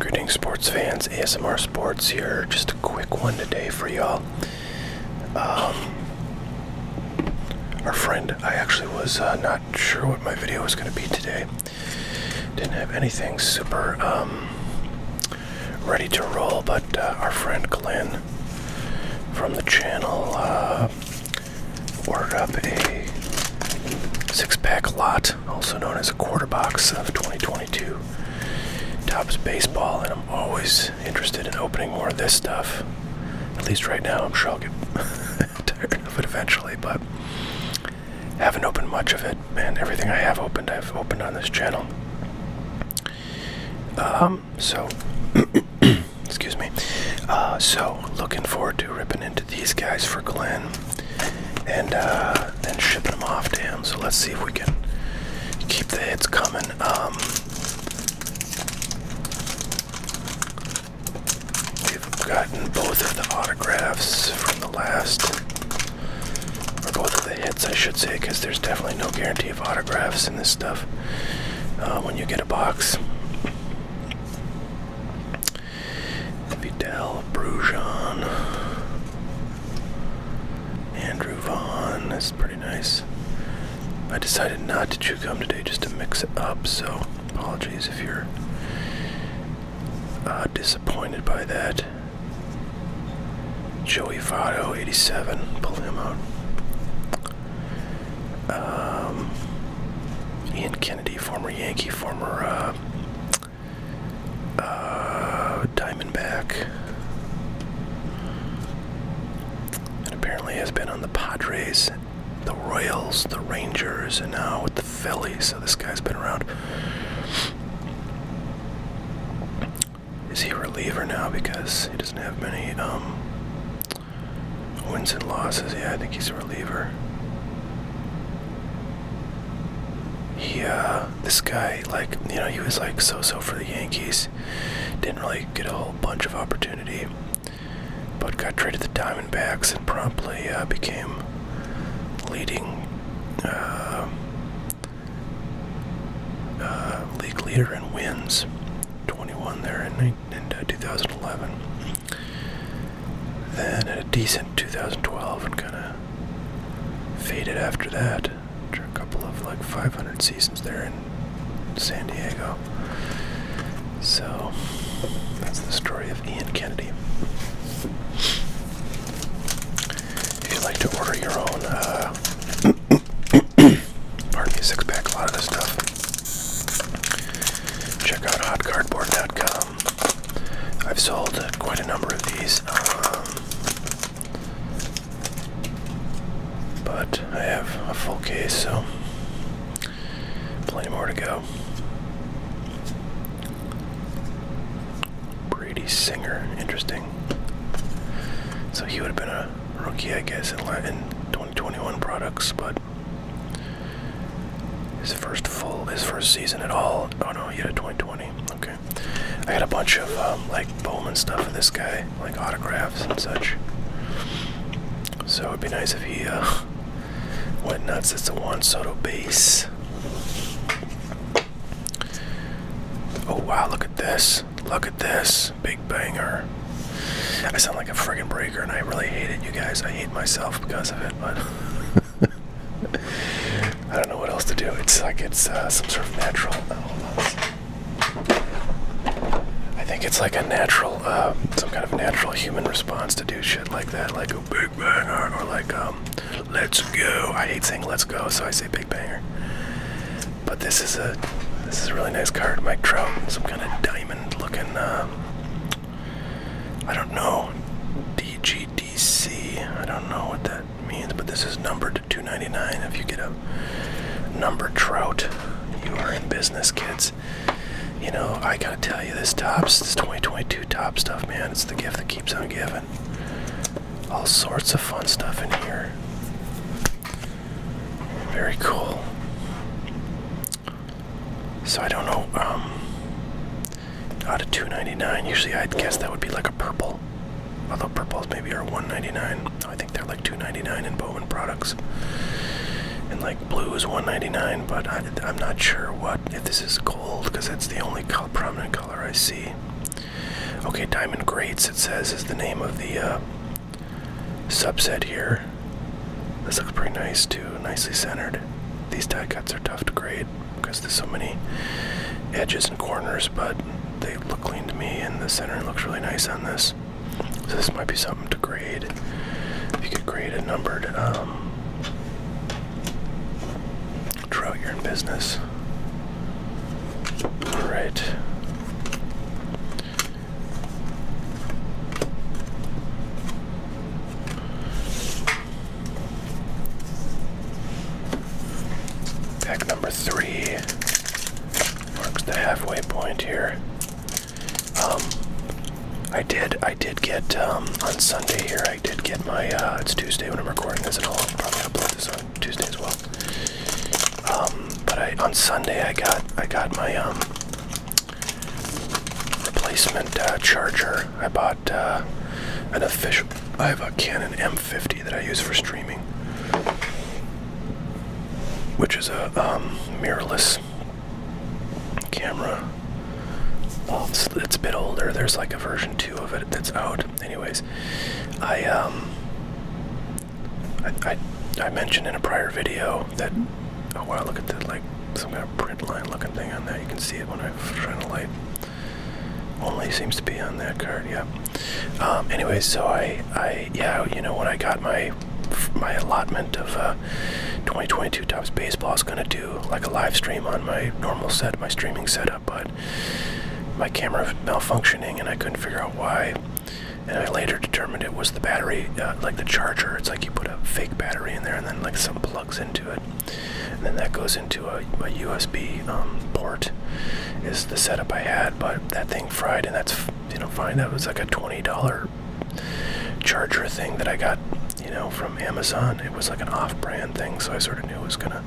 Greetings, sports fans. ASMR Sports here. Just a quick one today for y'all. Um, our friend, I actually was uh, not sure what my video was going to be today. Didn't have anything super um, ready to roll, but uh, our friend Glenn from the channel uh, ordered up a six pack lot also known as a quarter box of 2022. Tops baseball, and I'm always interested in opening more of this stuff. At least right now, I'm sure I'll get tired of it eventually, but haven't opened much of it. Man, everything I have opened, I've opened on this channel. Um, so excuse me. Uh, so looking forward to ripping into these guys for Glenn and uh, then shipping them off to him. So let's see if we can keep the hits coming. Um, we've gotten both of the autographs from the last, or both of the hits, I should say, because there's definitely no guarantee of autographs in this stuff uh, when you get a box. Vidal Brujon. Andrew Vaughn. That's pretty nice. I decided not to chew gum today just to mix it up, so apologies if you're uh, disappointed by that. Joey Votto, 87. Pulling him out. Um, Ian Kennedy, former Yankee, former uh, uh, Diamondback, and apparently has been on the Padres, the Royals, the Rangers, and now with the Phillies. So this guy's been around. Is he a reliever now because he doesn't have many um, wins and losses? Yeah, I think he's a reliever. He, this guy, like, you know, he was like so so for the Yankees. Didn't really get a whole bunch of opportunity, but got traded to the Diamondbacks and promptly uh, became leading uh, uh, league leader in wins. 21 there in, 2011. Then a decent 2012 and kind of faded after that. After a couple of like 500 seasons there in San Diego. So that's the story of Ian Kennedy. If you'd like to order your own, uh, six pack, a lot of this stuff, check out hotcardboard.com. I've sold uh, quite a number of these, um, but I have a full case, so plenty more to go. Brady Singer, interesting. So he would have been a rookie, I guess, in 2021 products, but his first full, his first season at all. Oh no, he had a 2020. Okay. I got a bunch of um, like Bowman stuff for this guy, like autographs and such. So it'd be nice if he uh, went nuts. It's a Juan Soto base. Oh wow, look at this. Look at this. Big banger. I sound like a friggin' Brady and I really hate it, you guys. I hate myself because of it, but I don't know what else to do. It's like it's uh, some sort of natural. Uh, I think it's like a natural, uh, some kind of natural human response to do shit like that, like a big banger or like um, let's go. I hate saying let's go, so I say big banger. But this is a this is a really nice card, Mike Trout, some kind of diamond-looking. I don't know. DGDC. I don't know what that means, but this is numbered to 2.99. If you get a number trout, you are in business, kids. You know, I gotta tell you, this tops, this 2022 top stuff, man. It's the gift that keeps on giving. All sorts of fun stuff in here. Very cool. So I don't know. Um, out of 299, usually I'd guess that would be like a purple. Although purples maybe are 199. I think they're like 299 in Bowman products. And like blue is 199, but I, am not sure what if this is gold because that's the only prominent color I see. Okay, diamond grates. It says is the name of the uh, subset here. This looks pretty nice too, nicely centered. These die cuts are tough to grade because there's so many edges and corners, but they look clean to me and the center looks really nice on this. So this might be something to grade. If you could grade a numbered um, you're in business. Alright. Pack number three marks the halfway point here. Um, I did, I did get um, on Sunday here. I did get my. Uh, it's Tuesday when I'm recording this, and I'll probably upload this on Tuesday as well. Um, but on Sunday I got I got my replacement uh, charger. I bought uh, an official. I have a Canon M50 that I use for streaming, which is a um, mirrorless camera. it's, a bit older. There's like a version two of it that's out. Anyways, I, um, I mentioned in a prior video that oh wow look at that like some kind of print line looking thing on that you can see it when I shine a light only seems to be on that card yeah um, anyway so I I yeah you know when I got my my allotment of uh, 2022 tops baseballs gonna do like a live stream on my normal set my streaming setup but my camera malfunctioning and I couldn't figure out why and I later determined it was the battery uh, like the charger it's like you put a fake battery in there and then like some plugs into it. And then that goes into a, USB um, port. Is the setup I had, but that thing fried, and that's you know fine. That was like a twenty dollar charger thing that I got you know from Amazon. It was like an off-brand thing, so I sort of knew it was gonna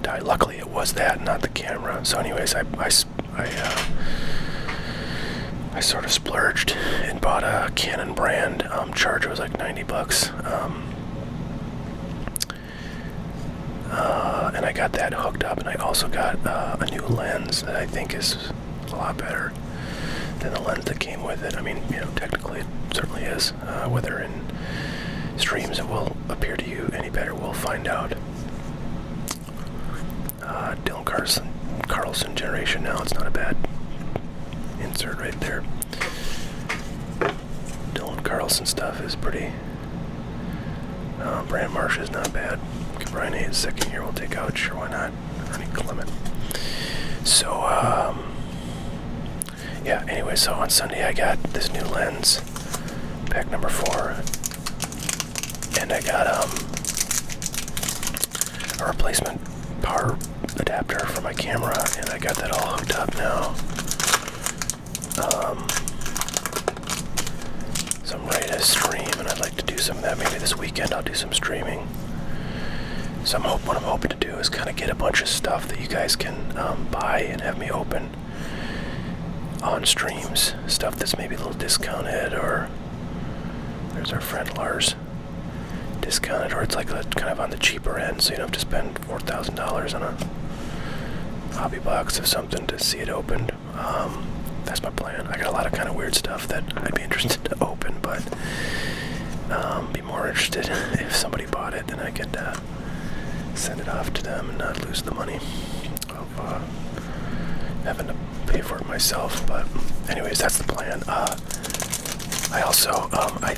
die. Luckily, it was that, not the camera. So, anyways, I I I, uh, I sort of splurged and bought a Canon brand um, charger. It was like 90 bucks. Um, uh, and I got that hooked up, and I also got uh, a new lens that I think is a lot better than the lens that came with it. I mean, you know, technically it certainly is. Uh, whether in streams it will appear to you any better, we'll find out. Uh, Dylan Carlson, Carlson generation now. It's not a bad insert right there. Dylan Carlson stuff is pretty. Uh, Brand Marsh is not bad. Brian Hayes second year we'll take out. Sure, why not? Ernie Clement. So, um, yeah. Anyway, so on Sunday I got this new lens, pack number four, and I got um, a replacement power adapter for my camera, and I got that all hooked up now. Um, so I'm ready to stream, and I'd like to do some of that. Maybe this weekend I'll do some streaming. So I'm hoping what I'm hoping to do is kind of get a bunch of stuff that you guys can um, buy and have me open on streams. Stuff that's maybe a little discounted, or there's our friend Lars discounted, or it's like kind of on the cheaper end, so you don't have to spend $4,000 on a hobby box or something to see it opened. Um, that's my plan. I got a lot of kind of weird stuff that I'd be interested to open, but um, be more interested if somebody bought it, then I could uh, send it off to them and not lose the money of uh, having to pay for it myself. But anyways, that's the plan. Uh, I also um, I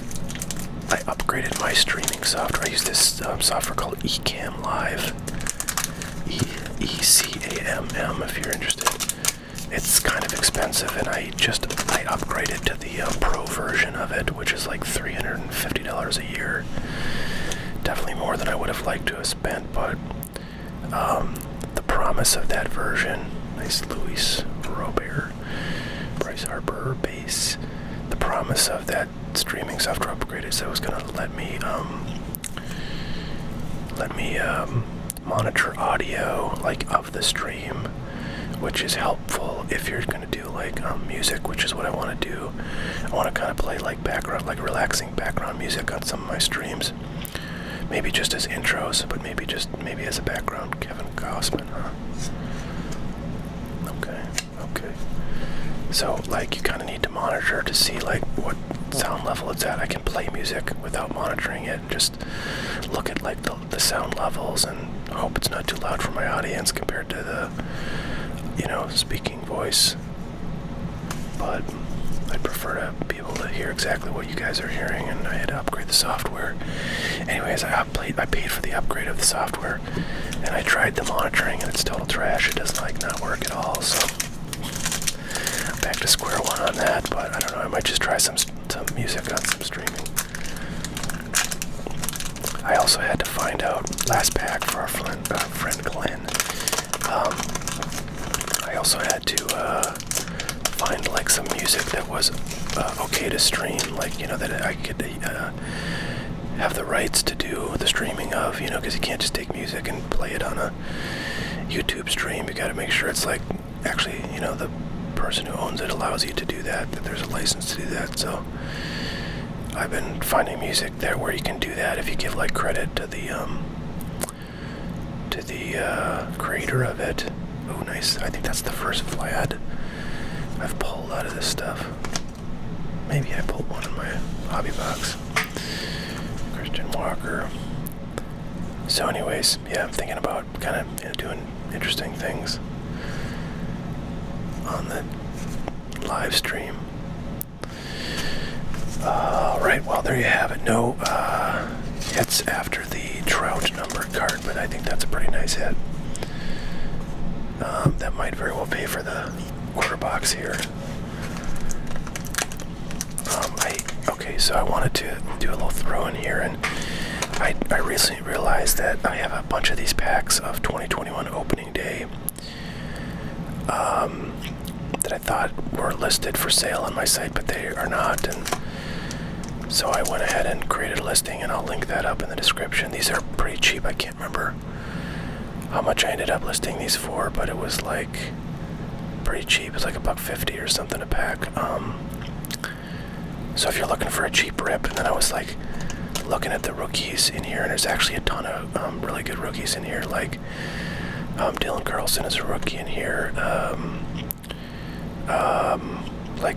I upgraded my streaming software. I use this um, software called Ecamm Live. E C A M M. If you're interested, it's kind of expensive, and I just I upgraded to the uh, pro version of it, which is like three hundred and fifty dollars a year. Definitely more than I would have liked to have spent, but um, the promise of that version, nice Luis Robert, Bryce Harper base. The promise of that streaming software upgrade is that was going to let me um, let me um, monitor audio like of the stream, which is helpful if you're going to do like music, which is what I want to do. I want to kind of play like background, like relaxing background music on some of my streams. Maybe just as intros, but maybe just maybe as a background. Kevin Gossman, Okay, okay. So like you kind of need to monitor to see like what sound level it's at. I can play music without monitoring it. Just look at like the, the sound levels and hope it's not too loud for my audience compared to the you know speaking voice. But I prefer to able to hear exactly what you guys are hearing, and I had to upgrade the software. Anyways, I paid for the upgrade of the software, and I tried the monitoring, and it's total trash. It does not like not work at all. So back to square one on that. But I don't know. I might just try some some music on some streaming. I also had to find out last pack for our friend, uh, friend Glenn. Um, I also had to uh, find like some music that was uh, okay to stream, like you know that I could uh, have the rights to do the streaming of, you know, because you can't just take music and play it on a YouTube stream. You got to make sure it's like actually, you know, the person who owns it allows you to do that. That there's a license to do that. So I've been finding music there where you can do that if you give like credit to the um, to the uh, crater of it. Oh, nice. I think that's the first Vlad I've pulled out of this stuff. Maybe I pulled one in my hobby box. Christian Walker. So, anyways, yeah, I'm thinking about kind of doing interesting things on the live stream. All right, well, there you have it. No, uh, hits after the Trout number card, but I think that's a pretty nice hit. Um, that might very well pay for the quarter box here. Um, I okay, so I wanted to do a little throw in here, and I I recently realized that I have a bunch of these packs of 2021 opening day. Um, that I thought were listed for sale on my site, but they are not. And so I went ahead and created a listing, and I'll link that up in the description. These are pretty cheap. I can't remember how much I ended up listing these for, but it was like pretty cheap. It's like a buck fifty or something a pack. Um, so if you're looking for a cheap rip, and then I was like looking at the rookies in here, and there's actually a ton of um, really good rookies in here, like um, Dylan Carlson is a rookie in here. Um, um, like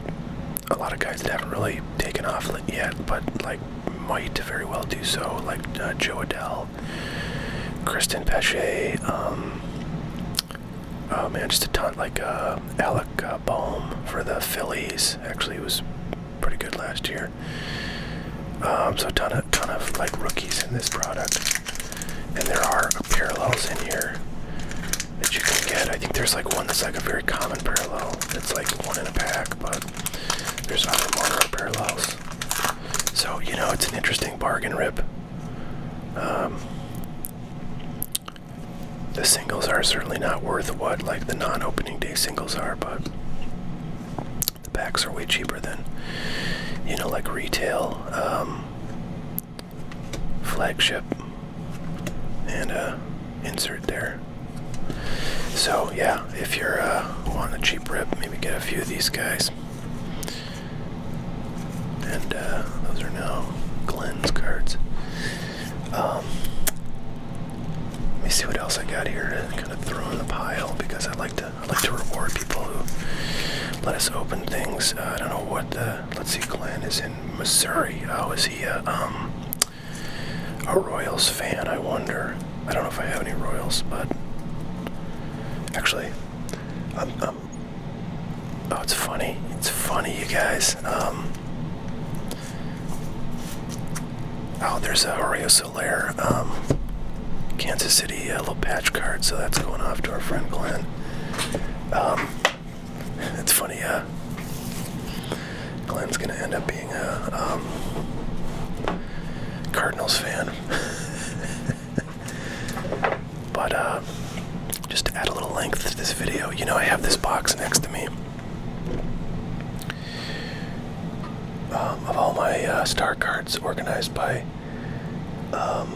a lot of guys that haven't really taken off yet, but like might very well do so, like uh, Joe Adell, Kristen Pesce, oh man, just a ton, like uh, Alec uh, Baum for the Phillies, actually was pretty good last year. so a ton of, ton of like rookies in this product and there are parallels in here that you can get. I think there's like one that's like a very common parallel. It's like one in a pack, but there's other more parallels. So you know it's an interesting bargain rip. Um, the singles are certainly not worth what like the non-opening day singles are, but the packs are way cheaper than you know like retail. Um, flagship and uh, insert there. So yeah, if you're on uh, a cheap rip, maybe get a few of these guys. And uh, those are now Glenn's cards. Um, let me see what else I got here to kind of throw in the pile because I like to that. I like to reward people who let us open things. Uh, I don't know what the. Let's see, Glenn is in Missouri. Oh, is he a, uh, um, a Royals fan? I wonder. I don't know if I have any Royals, but actually, i oh, it's funny. It's funny, you guys. Um, oh, there's a Oreo Solaire. Um, Kansas City little patch card, so that's going off to our friend Glenn. Um, it's funny, uh, Glenn's gonna end up being a um, Cardinals fan, but uh, just to add a little length to this video, you know, I have this box next to me. Um, of all my uh, star cards organized by um,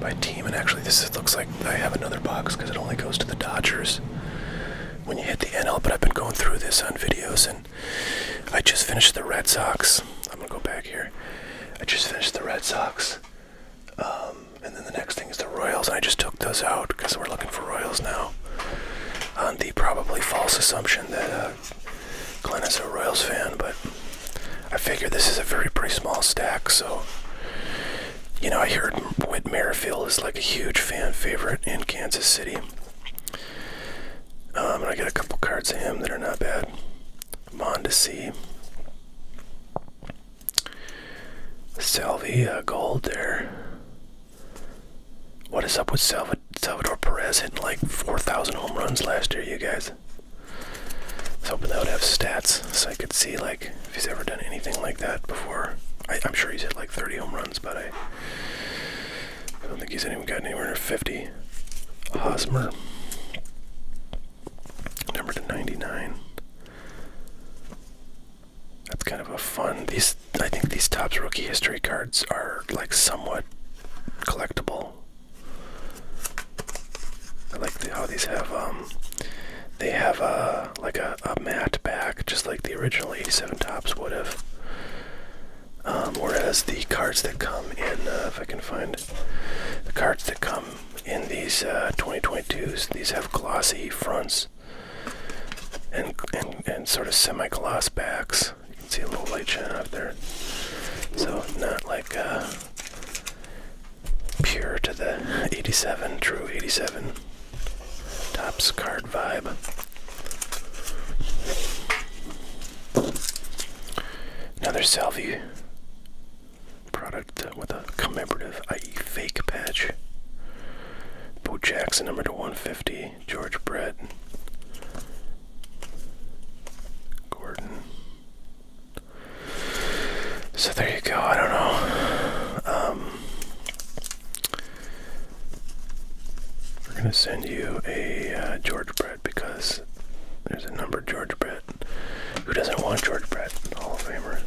by team. And actually, this looks like I have another box because it only goes to the Dodgers when you hit the NL. But I've been going through this on videos, and I just finished the Red Sox. I'm gonna go back here. I just finished the Red Sox. Um, and then the next thing is the Royals, and I just took those out because we're looking for Royals now. On the probably false assumption that uh, Glenn is a Royals fan, but I figure this is a very pretty small stack, so you know I heard Whit Merrifield is like a huge fan favorite in Kansas City. Um, and I got a couple cards of him that are not bad. Mondesi. Salvia Gold there. What is up with Salvia? Salvador Perez hitting like 4,000 home runs last year, you guys. I was hoping that would have stats so I could see like if he's ever done anything like that before. I, am sure he's hit like 30 home runs, but I, don't think he's even gotten anywhere near 50. Hosmer, number to 99. That's kind of a fun. These I think these tops rookie history cards are like somewhat collectible. I like how these have um they have a uh, like a, a matte back just like the original 87 tops would have. Um, whereas the cards that come in, uh, if I can find the cards that come in these uh, 2022s, these have glossy fronts and, and sort of semi gloss backs. You can see a little light shine off there. So not like uh, pure to the 87, true 87 tops card vibe. Another Salvi product with a commemorative, i.e., fake patch. Bo Jackson, number to 150. George Brett, Gordon. So there you go. I don't know. Um, we're gonna send you a uh, George Brett because there's a number George Brett. Who doesn't want George Brett? Hall of Famer.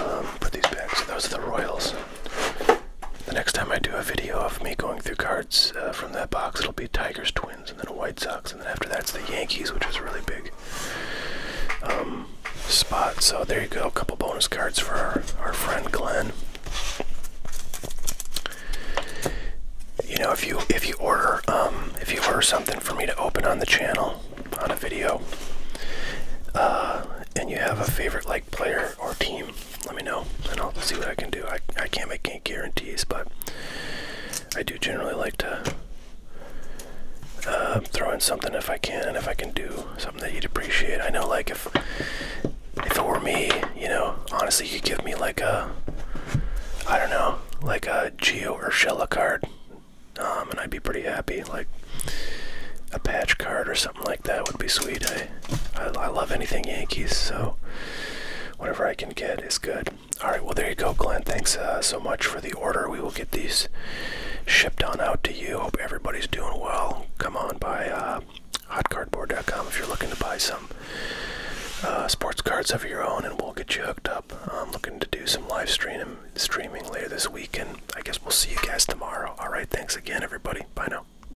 Um, put these back. those are the Royals. The next time I do a video of me going through cards. Uh, from that box. It'll be Tigers, Twins, and then a White Sox, and then after that's the Yankees, which is a really big um, spot. So there you go, a couple bonus cards for our, friend Glenn. You know, if you if you order um, if you order something for me to open on the channel on a video, uh, and you have a favorite like player or team, let me know and I'll see what I can do. I, I can't make any guarantees, but I do generally like to uh, throw in something if I can if I can do something that you'd appreciate. I know, like, if, if it were me, you know, honestly, you could give me like a, I don't know, like a Geo or Urshela card, um, and I'd be pretty happy. Like, a patch card or something something like that would be sweet. I, I, love anything Yankees, so whatever I can get is good. All right, well there you go, Glenn. Thanks uh, so much for the order. We will get these shipped on out to you. Hope everybody's doing well. Come on by uh, hotcardboard.com if you're looking to buy some uh, sports cards of your own, and we'll get you hooked up. I'm looking to do some live streaming later this week, and I guess we'll see you guys tomorrow. All right, thanks again, everybody. Bye now.